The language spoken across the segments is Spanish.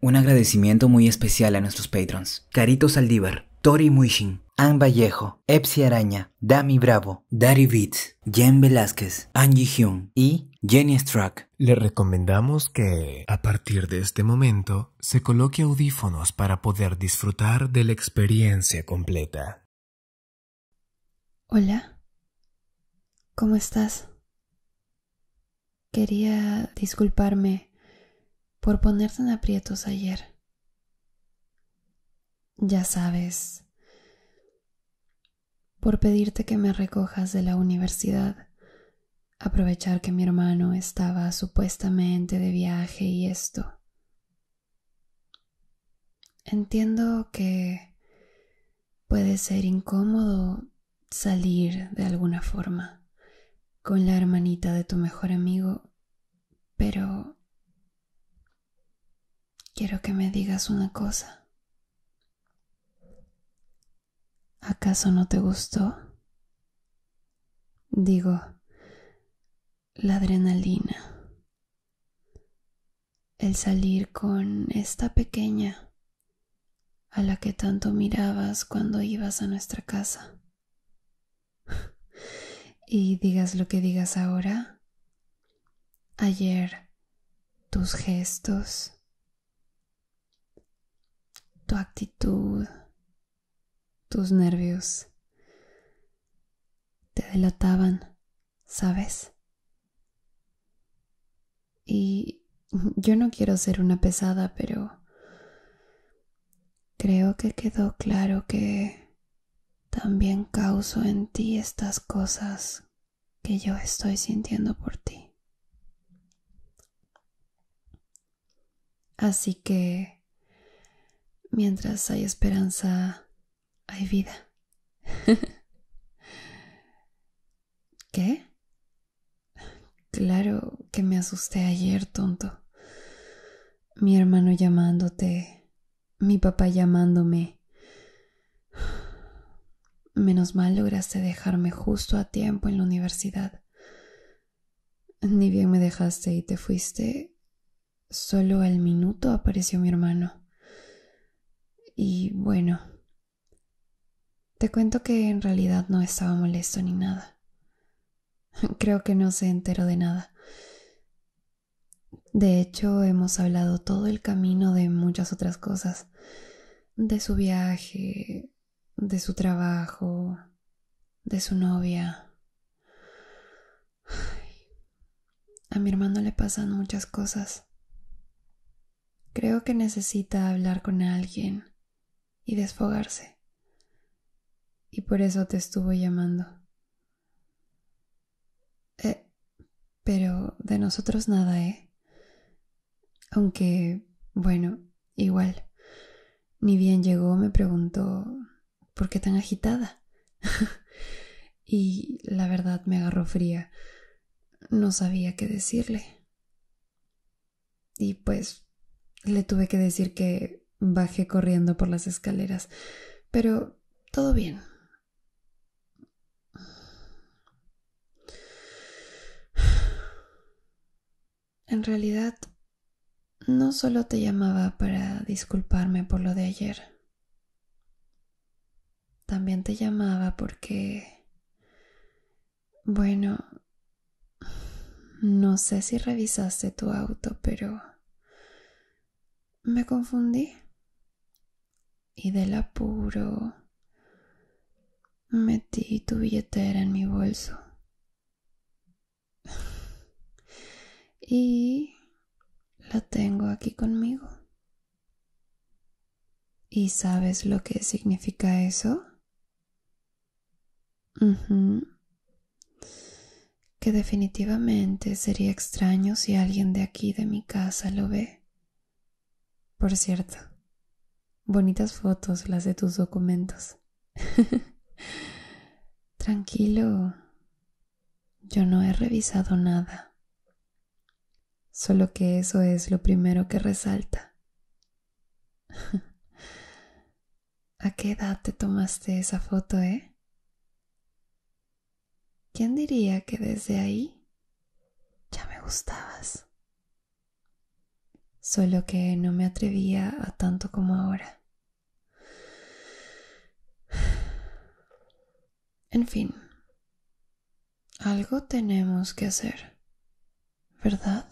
Un agradecimiento muy especial a nuestros patrons. Carito Saldívar, Tori Muishin, Ann Vallejo, Epsi Araña, Dami Bravo, Daddy Beats, Jen Velázquez, Angie Hyung y Jenny Struck. Le recomendamos que, a partir de este momento, se coloque audífonos para poder disfrutar de la experiencia completa. Hola, ¿cómo estás? Quería disculparme por ponerte en aprietos ayer. Ya sabes, por pedirte que me recojas de la universidad, aprovechar que mi hermano estaba supuestamente de viaje y esto. Entiendo que puede ser incómodo salir de alguna forma con la hermanita de tu mejor amigo, pero quiero que me digas una cosa. ¿Acaso no te gustó? Digo, la adrenalina, el salir con esta pequeña a la que tanto mirabas cuando ibas a nuestra casa. y digas lo que digas ahora, ayer tus gestos, tu actitud, tus nervios te delataban ¿sabes? Y yo no quiero ser una pesada, pero creo que quedó claro que también causo en ti estas cosas que yo estoy sintiendo por ti. Así que, mientras hay esperanza, hay vida. ¿Qué? Claro que me asusté ayer, tonto. Mi hermano llamándote, mi papá llamándome. Menos mal lograste dejarme justo a tiempo en la universidad. Ni bien me dejaste y te fuiste, Solo al minuto apareció mi hermano. Y bueno, te cuento que en realidad no estaba molesto ni nada. Creo que no se enteró de nada. De hecho, hemos hablado todo el camino de muchas otras cosas. De su viaje, de su trabajo, de su novia. A mi hermano le pasan muchas cosas. Creo que necesita hablar con alguien y desfogarse. Y por eso te estuvo llamando. Eh, pero de nosotros nada, ¿eh? Aunque, bueno, igual. Ni bien llegó me preguntó, ¿por qué tan agitada? y la verdad me agarró fría. No sabía qué decirle. Y pues le tuve que decir que bajé corriendo por las escaleras, pero todo bien. En realidad, no solo te llamaba para disculparme por lo de ayer. También te llamaba porque, bueno, no sé si revisaste tu auto, pero me confundí. Y del apuro metí tu billetera en mi bolso. y la tengo aquí conmigo. ¿Y sabes lo que significa eso? Que definitivamente sería extraño si alguien de aquí de mi casa lo ve. Por cierto, bonitas fotos las de tus documentos. Tranquilo, yo no he revisado nada, solo que eso es lo primero que resalta. ¿A qué edad te tomaste esa foto, eh? ¿Quién diría que desde ahí ya me gustabas? Solo que no me atrevía a tanto como ahora. En fin, algo tenemos que hacer, ¿verdad?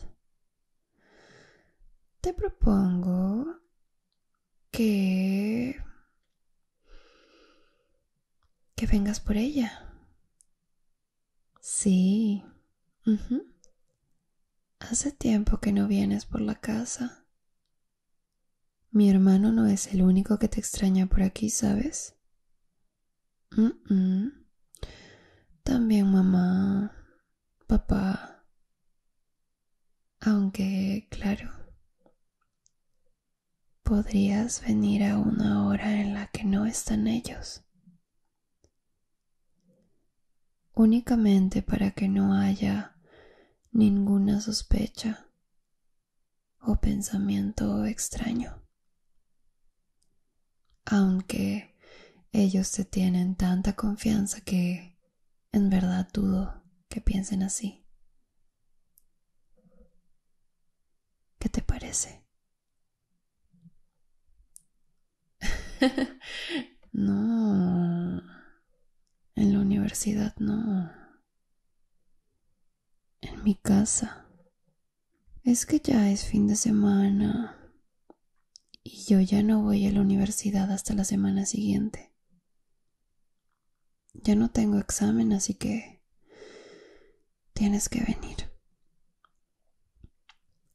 Te propongo que... que vengas por ella. Sí. Hace tiempo que no vienes por la casa. Mi hermano no es el único que te extraña por aquí, ¿sabes? También mamá, papá. Aunque, claro, podrías venir a una hora en la que no están ellos. Únicamente para que no haya ninguna sospecha o pensamiento extraño. Aunque ellos se tienen tanta confianza que en verdad dudo que piensen así. ¿Qué te parece? no. En la universidad no en mi casa. Es que ya es fin de semana y yo ya no voy a la universidad hasta la semana siguiente. Ya no tengo examen, así que tienes que venir.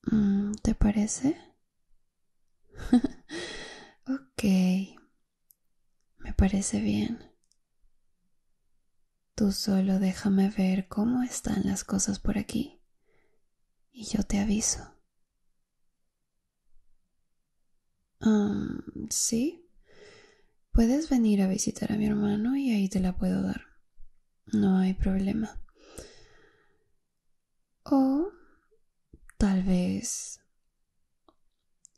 Mm, ¿Te parece? ok, me parece bien. Tú solo déjame ver cómo están las cosas por aquí y yo te aviso. Ah, sí. Puedes venir a visitar a mi hermano y ahí te la puedo dar. No hay problema. O tal vez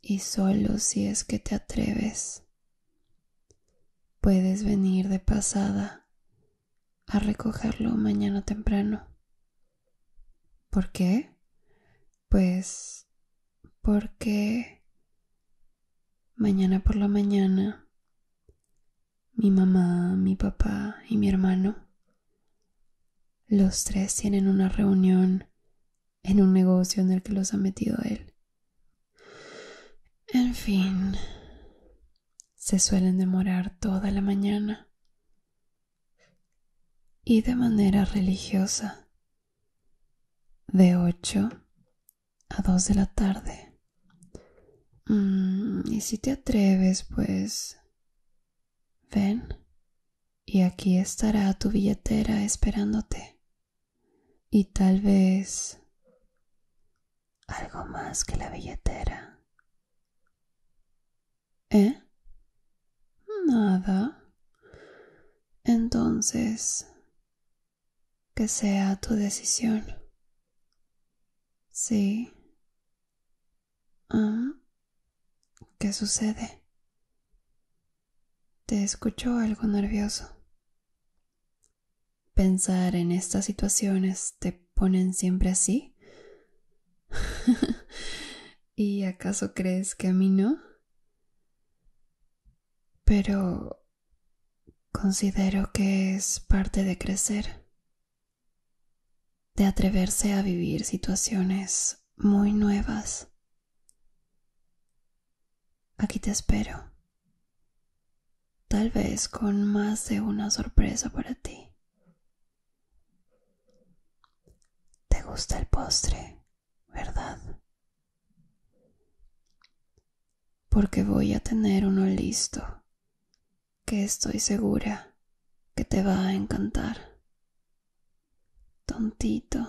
y solo si es que te atreves, puedes venir de pasada a recogerlo mañana temprano. ¿Por qué? Pues porque mañana por la mañana mi mamá, mi papá y mi hermano, los tres tienen una reunión en un negocio en el que los ha metido él. En fin, se suelen demorar toda la mañana y de manera religiosa, de 8 a 2 de la tarde. Mm, y si te atreves, pues, ven y aquí estará tu billetera esperándote. Y tal vez algo más que la billetera. ¿Eh? Nada. Entonces, que sea tu decisión. Sí. ¿Ah? ¿Qué sucede? Te escucho algo nervioso. Pensar en estas situaciones te ponen siempre así. ¿Y acaso crees que a mí no? Pero considero que es parte de crecer, de atreverse a vivir situaciones muy nuevas Aquí te espero. Tal vez con más de una sorpresa para ti. ¿Te gusta el postre, verdad? Porque voy a tener uno listo que estoy segura que te va a encantar. Tontito,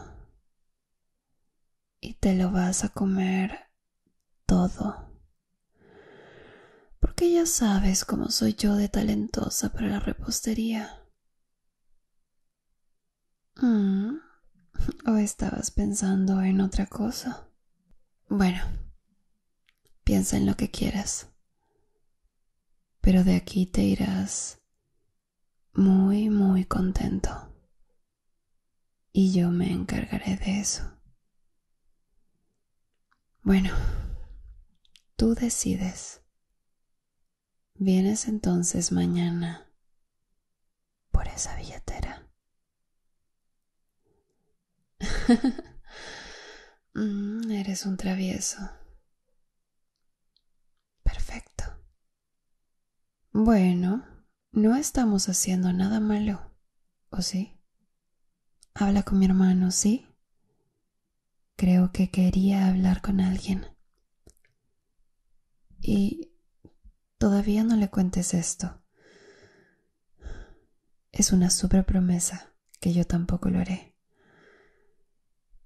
y te lo vas a comer todo. Porque ya sabes cómo soy yo de talentosa para la repostería. Mm, ¿O estabas pensando en otra cosa? Bueno, piensa en lo que quieras. Pero de aquí te irás muy, muy contento. Y yo me encargaré de eso. Bueno, tú decides. Vienes entonces mañana por esa billetera. Mm, eres un travieso. Perfecto. Bueno, no estamos haciendo nada malo, ¿o sí? Habla con mi hermano, ¿sí? Creo que quería hablar con alguien. Y todavía no le cuentes esto. Es una super promesa que yo tampoco lo haré.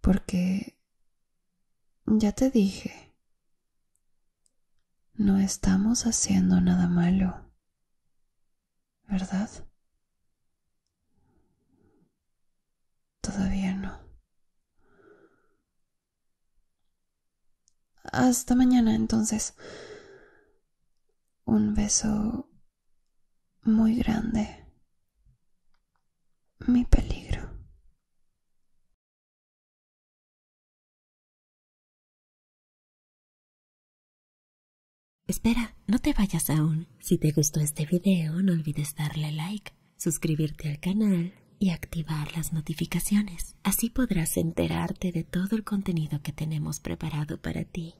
Porque ya te dije, no estamos haciendo nada malo, ¿verdad? Todavía no. Hasta mañana entonces. Un beso muy grande. Mi peligro. Espera, no te vayas aún. Si te gustó este video, no olvides darle like, suscribirte al canal y activar las notificaciones. Así podrás enterarte de todo el contenido que tenemos preparado para ti.